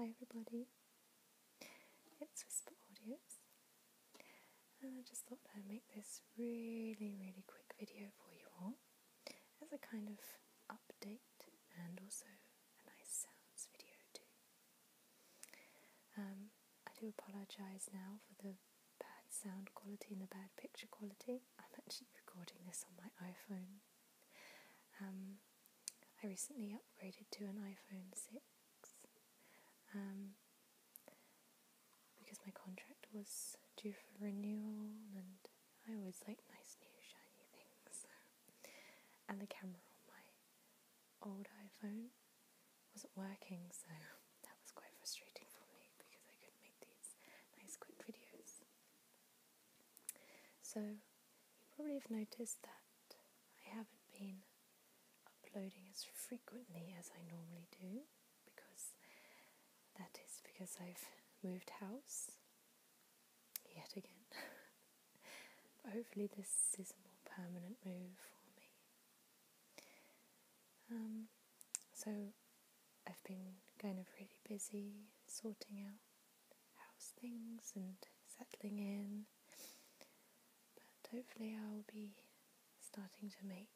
Hi everybody, it's Whisper Audios and I just thought I'd make this really really quick video for you all as a kind of update and also a nice sounds video too. Um, I do apologise now for the bad sound quality and the bad picture quality. I'm actually recording this on my iPhone um, I recently upgraded to an iPhone 6 um, because my contract was due for renewal and I always like nice new shiny things. and the camera on my old iPhone wasn't working, so that was quite frustrating for me because I couldn't make these nice quick videos. So, you probably have noticed that I haven't been uploading as frequently as I normally do because that is because I've moved house yet again. hopefully, this is a more permanent move for me. Um, so, I've been kind of really busy sorting out House things and settling in. But hopefully, I'll be starting to make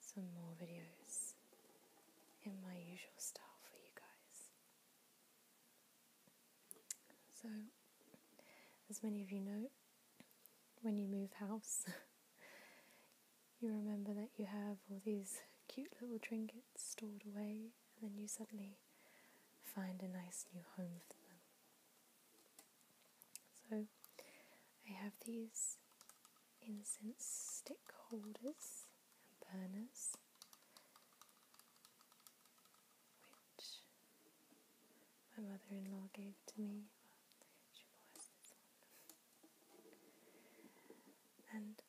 some more videos in my usual style for you guys. So, as many of you know, when you move house, you remember that you have all these cute little trinkets stored away, and then you suddenly find a nice new home for them. So I have these incense stick holders and burners, which my mother in law gave to me. And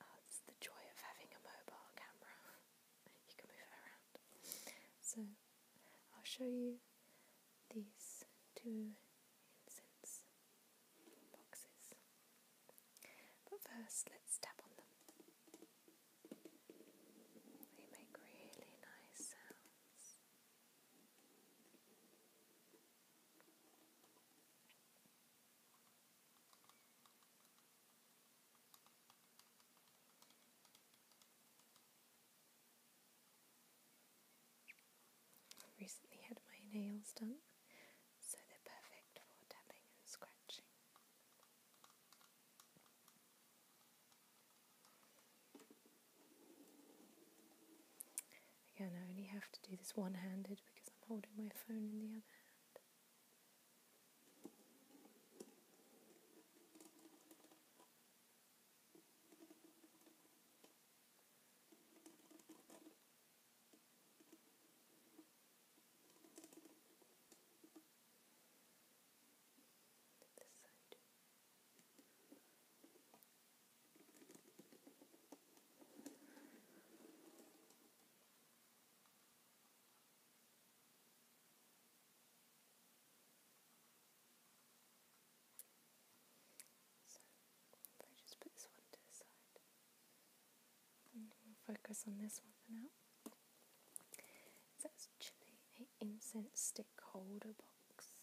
Oh, it's the joy of having a mobile camera. you can move it around. So I'll show you these two incense boxes. But first, let's tap on them. They make really nice sounds. I recently had my nails done, so they're perfect for tapping and scratching. Again, I only have to do this one handed because I'm holding my phone in the other hand. This side. Okay. So, if I just put this one to the side, and we'll focus on this one for now. It's actually an incense stick holder box.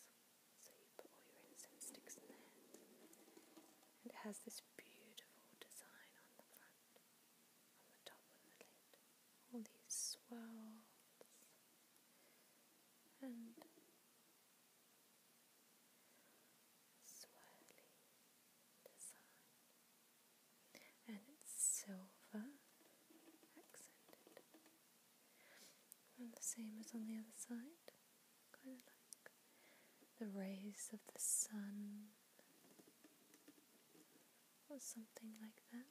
So, you put all your incense sticks in there, and it has this beautiful design on the front on the top of the lid. All these swirls and swirly design. And it's silver accented. And the same as on the other side, kind of like the rays of the sun or something like that.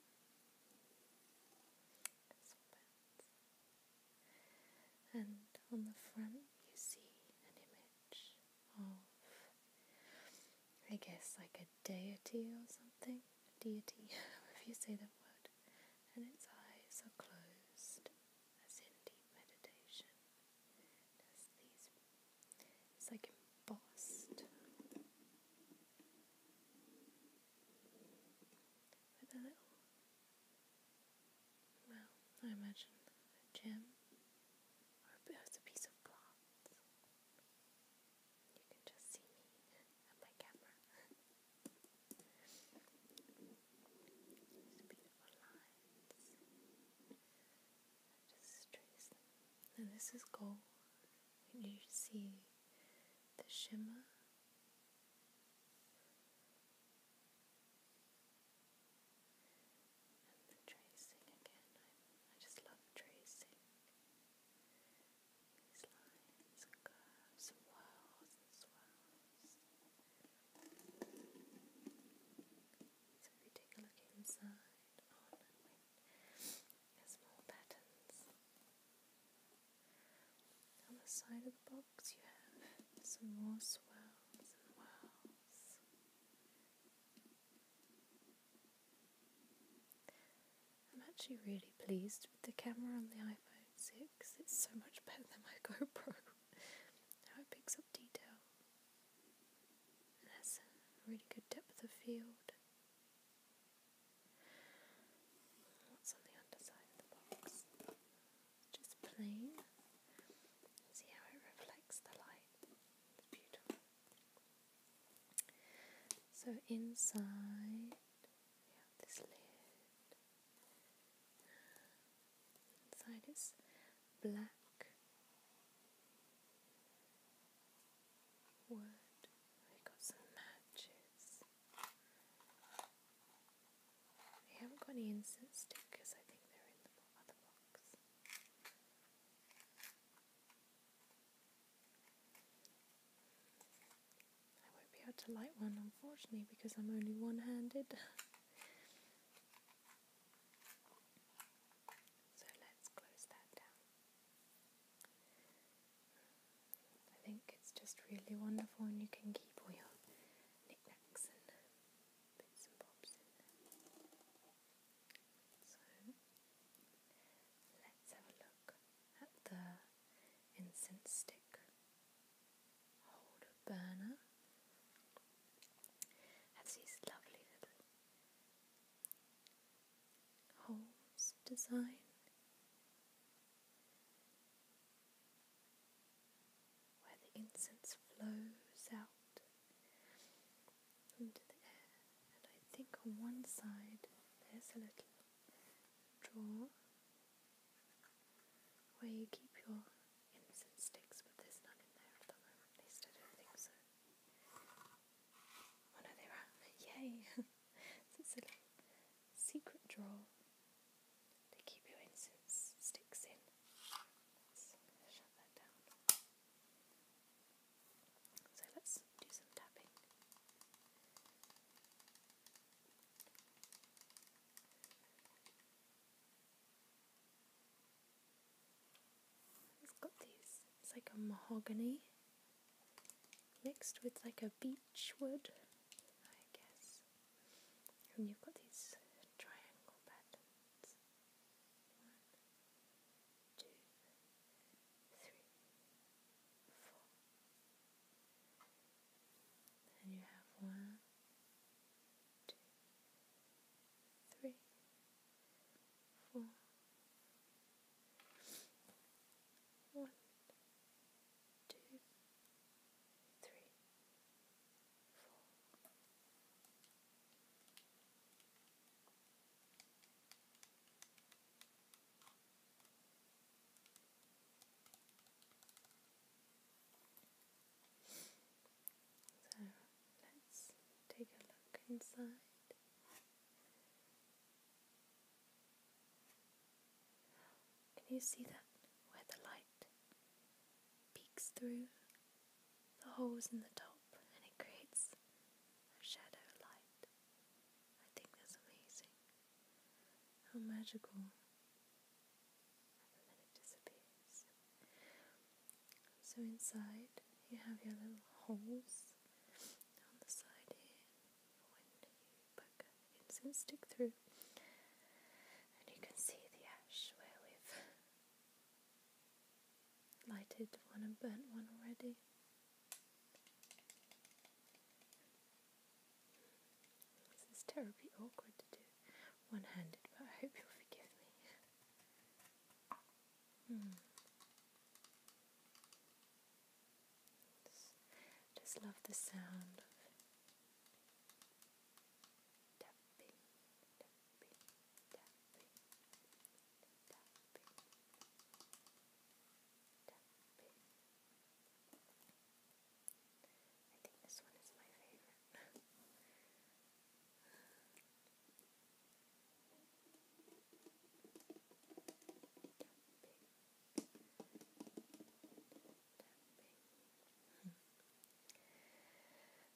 And on the front, you see an image of, I guess, like a deity or something. A deity, if you say that word. And its eyes are closed, as in deep meditation it's like embossed. With a little well, I imagine a gem or a, a piece of glass. You can just see me and my camera. These beautiful lines. Just trace And this is gold. You see the shimmer. And the tracing again. I, just love tracing these lines and curves and swirls. So if you take a look inside, on with small patterns. On the side of the box you have some more swirls and whirls. I'm actually really pleased with the camera on the iPhone 6. It's so much better than my GoPro. How it picks up detail that's a really good depth of field. What's on the underside of the box? Just plain. See how it reflects the light. It's beautiful. So inside we have this lid. Inside is black wood. We got some matches. We haven't got any incense stickers. I think they're in the other box. I won't be able to light one, unfortunately, because I'm only one-handed. So let's close that down. I think it's just really wonderful, and you can keep all your knickknacks and bits and bobs in there. So let's have a look at the incense stick holder burner. It has these lovely little Holmes design. Where the incense flows out into the air, and I think on one side there's a little drawer where you keep your incense sticks, but there's none in there at the moment, I don't think so. Oh no, they ran. Yay! it's a secret drawer. They keep your incense sticks in. So let's do some tapping. It's got these, it's like a mahogany mixed with like a beech wood, I guess. And you've got these triangle patterns. One, two, three, four. And you have one, two, three, four, one, two, three, four. So let's take a look inside. Can you see that? Where the light peeks through the holes in the top and it creates a shadow light. I think that's amazing. How magical. And then it disappears. So inside you have your little holes on the side here when you poke incense stick through. And you can see the ash where we've lighted one and burnt one already. This is terribly awkward to do one handed, but I hope you'll forgive me. Mm. Just love the sound of tapping, tapping, tapping, tapping, tapping. I think this one is my favorite.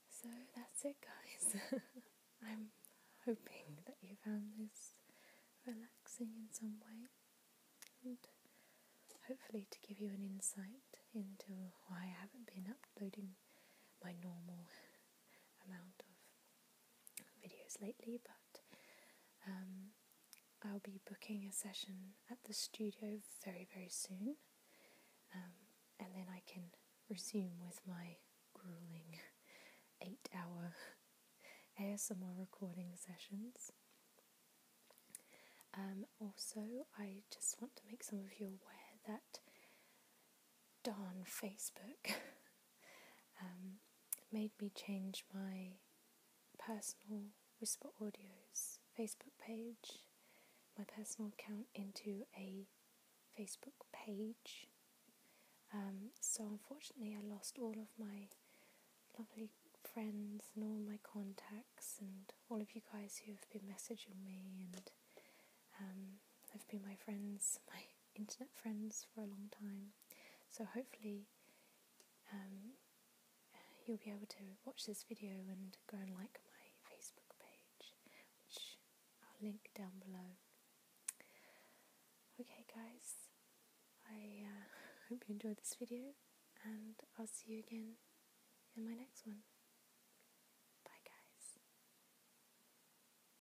so that's it, guys. I'm hoping that you found this relaxing in some way and hopefully to give you an insight into why I haven't been uploading my normal amount of videos lately, but um, I'll be booking a session at the studio very, very soon, um, and then I can resume with my grueling eight hour ASMR recording sessions. Um, also, I just want to make some of you aware that don't Facebook Um, made me change my personal Whisper Audio's Facebook page, my personal account, into a Facebook page. Um, so unfortunately, I lost all of my lovely friends and all my contacts and all of you guys who have been messaging me and um, have been my friends, my internet friends for a long time. So hopefully um, you'll be able to watch this video and go and like my Facebook page, which I'll link down below. Okay guys, I uh, hope you enjoyed this video and I'll see you again in my next one.